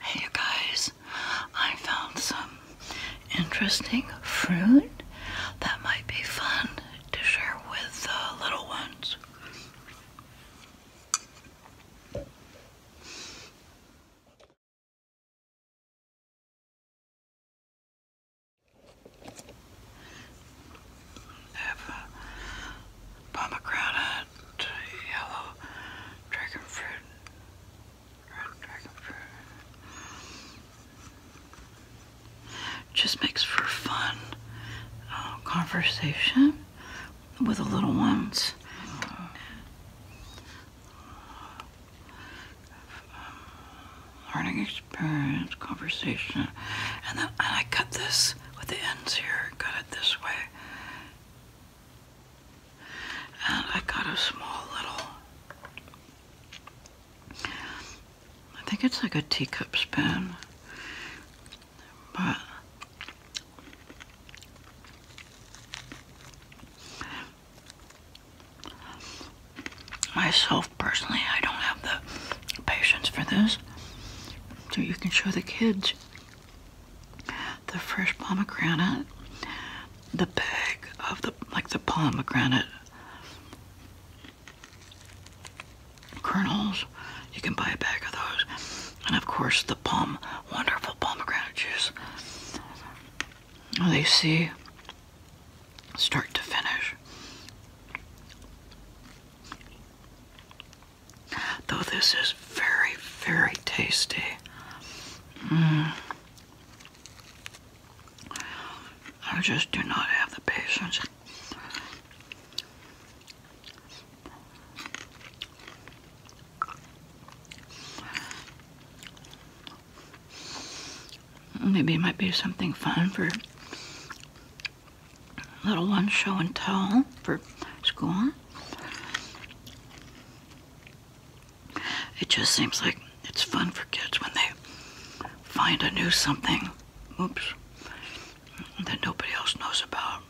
Hey you guys, I found some interesting fruit that might be fun to share with the little ones pomegranate, yellow dragon fruit, Just makes for fun uh, conversation with the little ones. learning experience, conversation, and then I cut this with the ends here, cut it this way. And I got a small little, I think it's like a teacup spoon, but I Personally, I don't have the patience for this. So you can show the kids the fresh pomegranate, the bag of the like the pomegranate kernels. You can buy a bag of those, and of course the palm, wonderful pomegranate juice. They see start to finish. Though this is very, very tasty. Mm. I just do not have the patience. Maybe it might be something fun for little one show and tell for school. It just seems like it's fun for kids when they find a new something, oops, that nobody else knows about.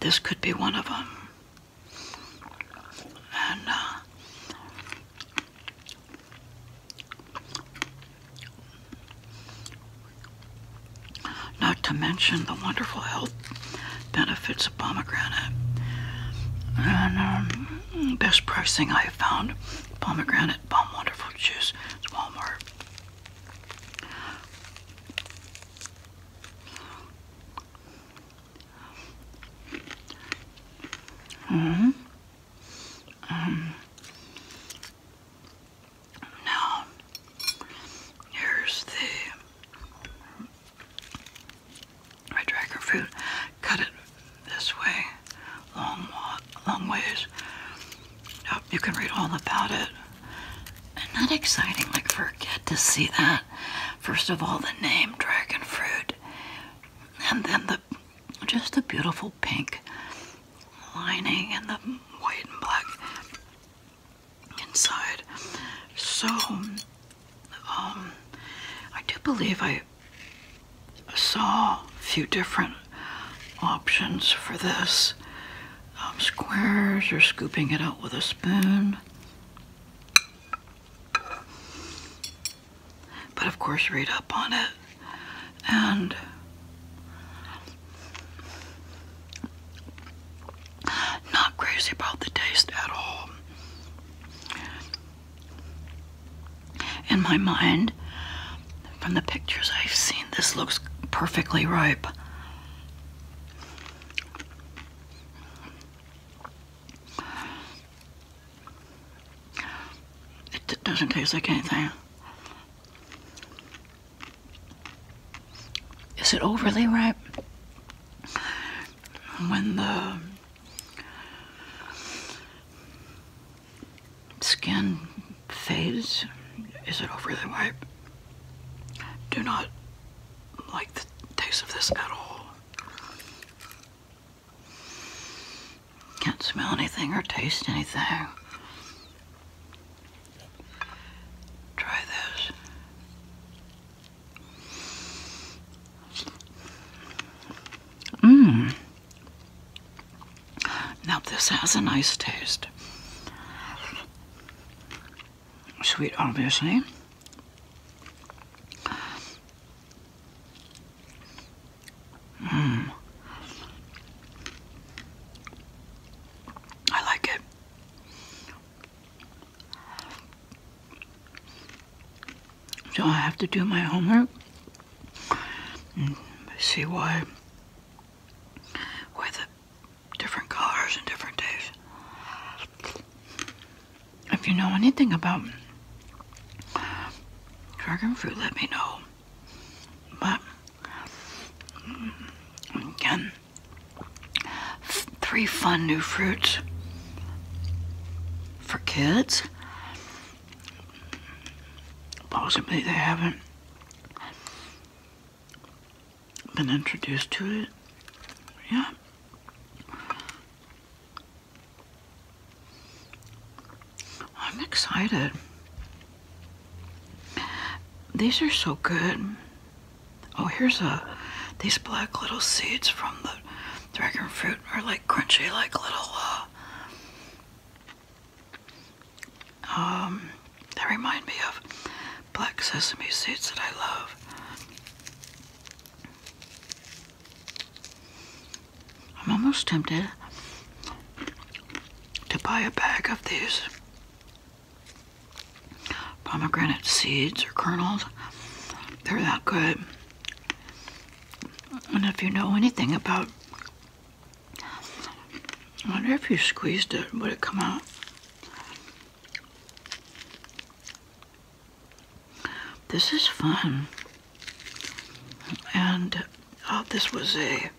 This could be one of them. And uh, not to mention the wonderful health benefits of pomegranate. And um, best pricing I have found pomegranate bomb wonderful juice at Walmart. -hmm. Um, now, here's the red dragon fruit. Cut it this way, long, long ways. you can read all about it. not exciting, like forget to see that. First of all, the name dragon fruit, and then the just the beautiful pink lining and the white and black inside. So, um, I do believe I saw a few different options for this. Um, squares or scooping it out with a spoon. But of course, read up on it. And not crazy about the taste at all. In my mind, from the pictures I've seen, this looks perfectly ripe. It doesn't taste like anything. Is it overly ripe? When the skin fades, is it overly ripe? Do not like the taste of this at all. Can't smell anything or taste anything. Try this. Mmm. Now this has a nice taste. Sweet, obviously. Mm. I like it. So I have to do my homework see why with different colors and different days. If you know anything about dragon fruit, let me know. But mm, again, three fun new fruits for kids. Possibly they haven't been introduced to it. Yeah. I'm excited. These are so good. Oh, here's a, these black little seeds from the dragon fruit are like crunchy, like little, uh, um, they remind me of black sesame seeds that I love. I'm almost tempted to buy a bag of these pomegranate seeds or kernels. They're that good. I wonder if you know anything about, I wonder if you squeezed it, would it come out? This is fun. And oh, this was a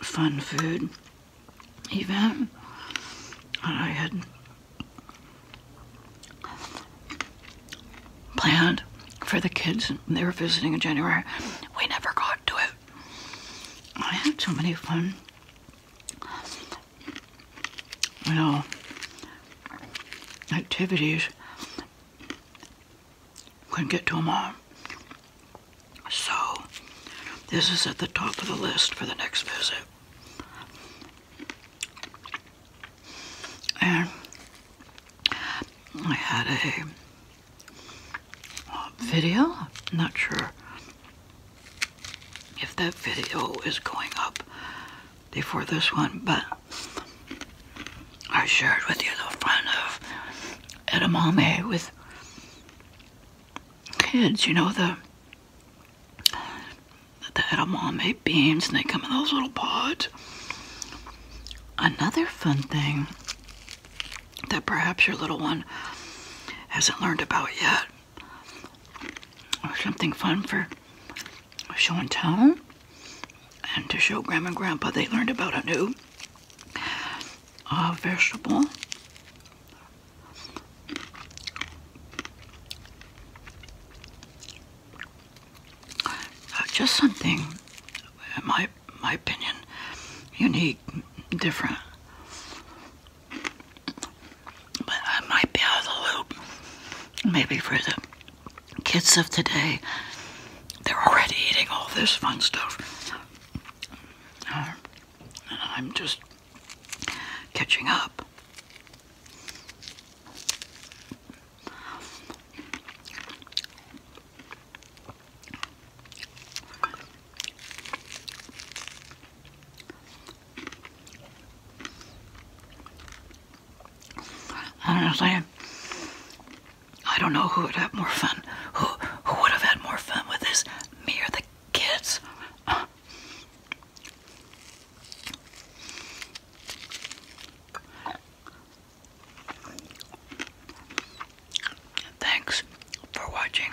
fun food event. And I had planned for the kids. They were visiting in January. We never got to it. I had so many fun you know, activities. Couldn't get to them all. So, this is at the top of the list for the next visit. And I had a, a uh, video. I'm not sure if that video is going up before this one, but I shared with you the fun of edamame with kids, you know, the the edamame beans, and they come in those little pods. Another fun thing that perhaps your little one hasn't learned about yet or something fun for show and tell and to show grandma and grandpa they learned about a new uh, vegetable uh, just something in my my opinion unique different but I might be out of the loop. Maybe for the kids of today, they're already eating all this fun stuff. Uh, and I'm just catching up. Honestly, I don't know who would have more fun. Who who would have had more fun with this? Me or the kids? Thanks for watching.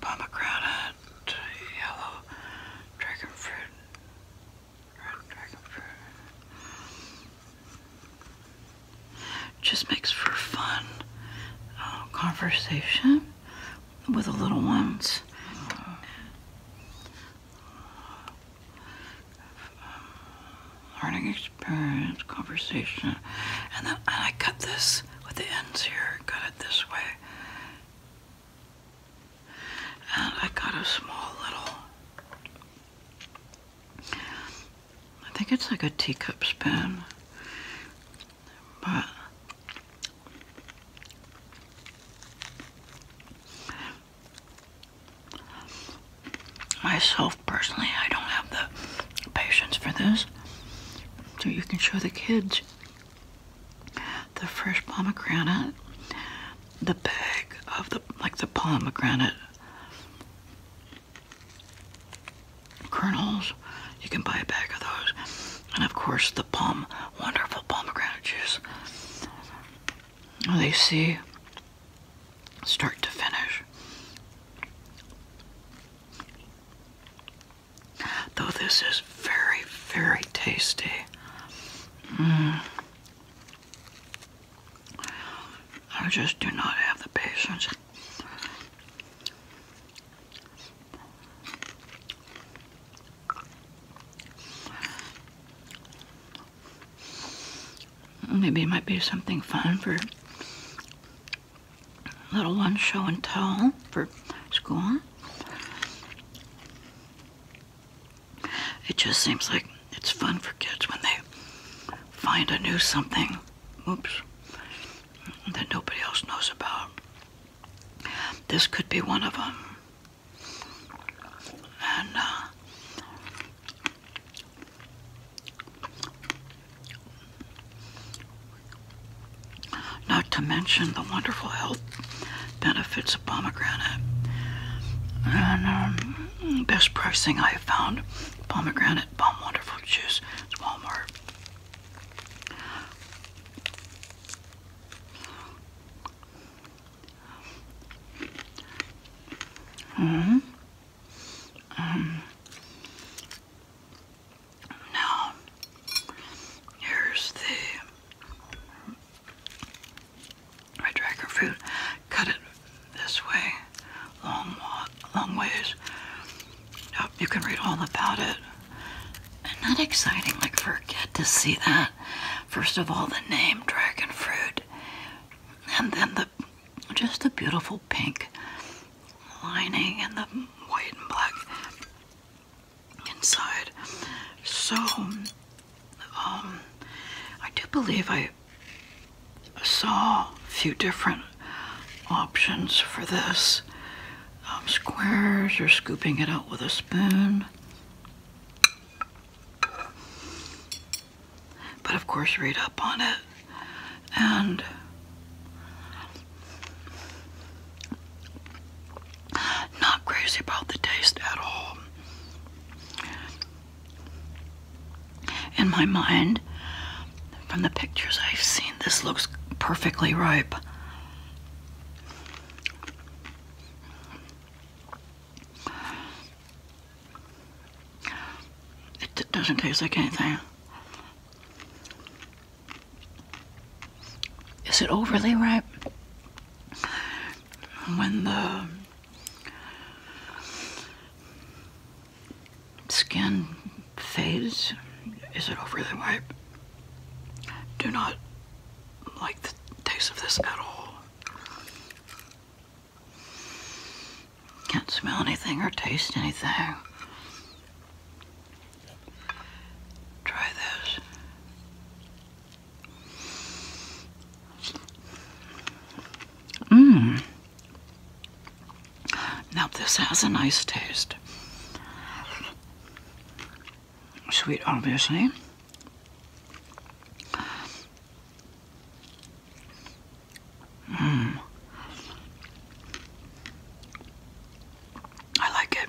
pomegranate, yellow dragon fruit, Just makes for fun uh, conversation with the little ones. learning experience, conversation, and then I cut this with the ends here, cut it this way. And I got a small little, I think it's like a teacup spoon, but myself personally, I don't have the patience for this so you can show the kids the fresh pomegranate, the bag of the like the pomegranate kernels. You can buy a bag of those, and of course the palm, wonderful pomegranate juice. They see start to finish. Though this is very, very tasty. Mm. I just do not have the patience. Maybe it might be something fun for little one show and tell for school. It just seems like it's fun for kids when they find a new something, oops, that nobody else knows about. This could be one of them. And uh, not to mention the wonderful health benefits of pomegranate. And um, best pricing I have found pomegranate bomb wonderful juice at Walmart. -hmm. Now, here's the red dragon fruit. Cut it this way, long, long ways. Oh, you can read all about it. And not exciting, like forget to see that. First of all, the name dragon fruit, and then the just the beautiful pink lining and the white and black inside. So, um, I do believe I saw a few different options for this. Um, squares or scooping it out with a spoon. But of course, read up on it and not crazy about the taste at all. In my mind, from the pictures I've seen, this looks perfectly ripe. It doesn't taste like anything. Is it overly ripe? When the skin fades, is it overly ripe? Do not like the taste of this at all. Can't smell anything or taste anything. Try this. Mmm. Now this has a nice taste. Sweet, obviously. Mm. I like it.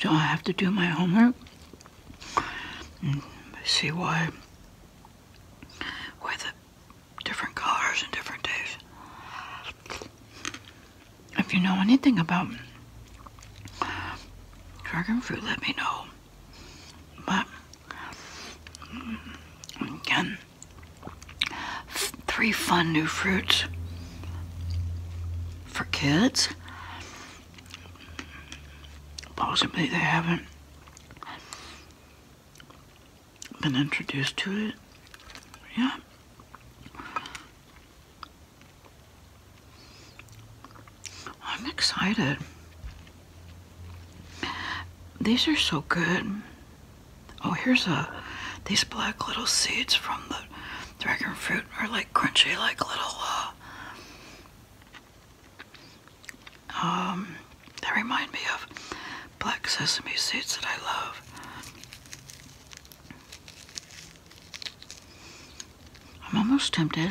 So I have to do my homework see why with different colors and different days. If you know anything about dragon fruit, let me know. But again, three fun new fruits for kids. Possibly they haven't been introduced to it. Yeah. Oh, I'm excited. These are so good. Oh, here's a, these black little seeds from the dragon fruit are like crunchy, like little, uh, um, they remind me of black sesame seeds that I love. I'm almost tempted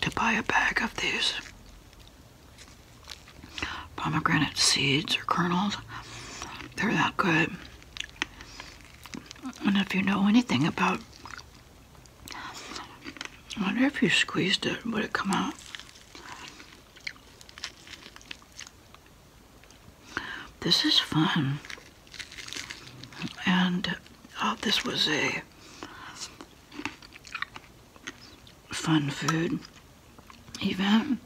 to buy a bag of these pomegranate seeds or kernels. They're that good. Wonder if you know anything about, wonder if you squeezed it, would it come out? This is fun. And oh, this was a fun food event.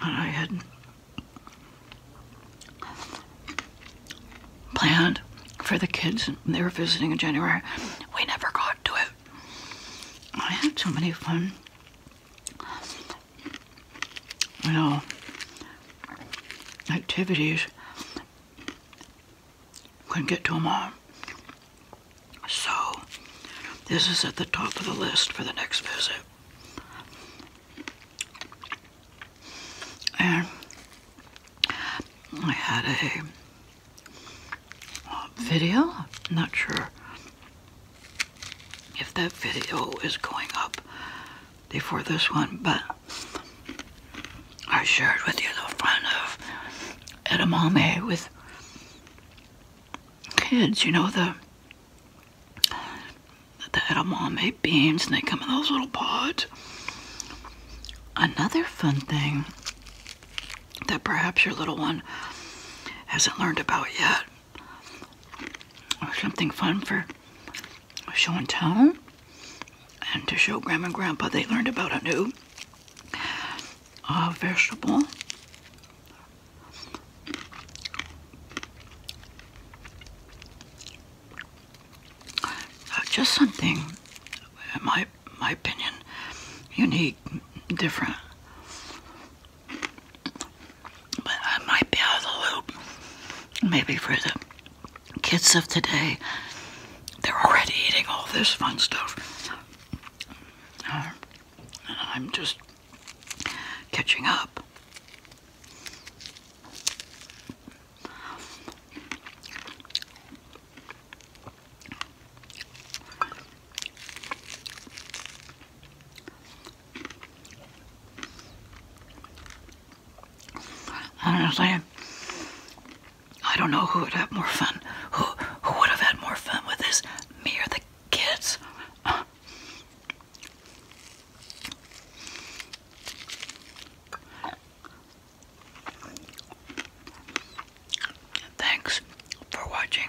And I had planned for the kids. They were visiting in January. We never got to it. I had so many fun you know, activities. Couldn't get to them all. So, this is at the top of the list for the next visit. And I had a uh, video. I'm not sure if that video is going up before this one, but I shared with you the fun of edamame with kids, you know, the the edamame beans, and they come in those little pods. Another fun thing that perhaps your little one hasn't learned about yet or something fun for show and tell and to show grandma and grandpa they learned about a new uh, vegetable uh, just something in my my opinion unique different but I might be out of the loop. Maybe for the kids of today, they're already eating all this fun stuff. Uh, I'm just catching up. I'm Honestly, I don't know who would have more fun. Who who would have had more fun with this? Me or the kids? Thanks for watching.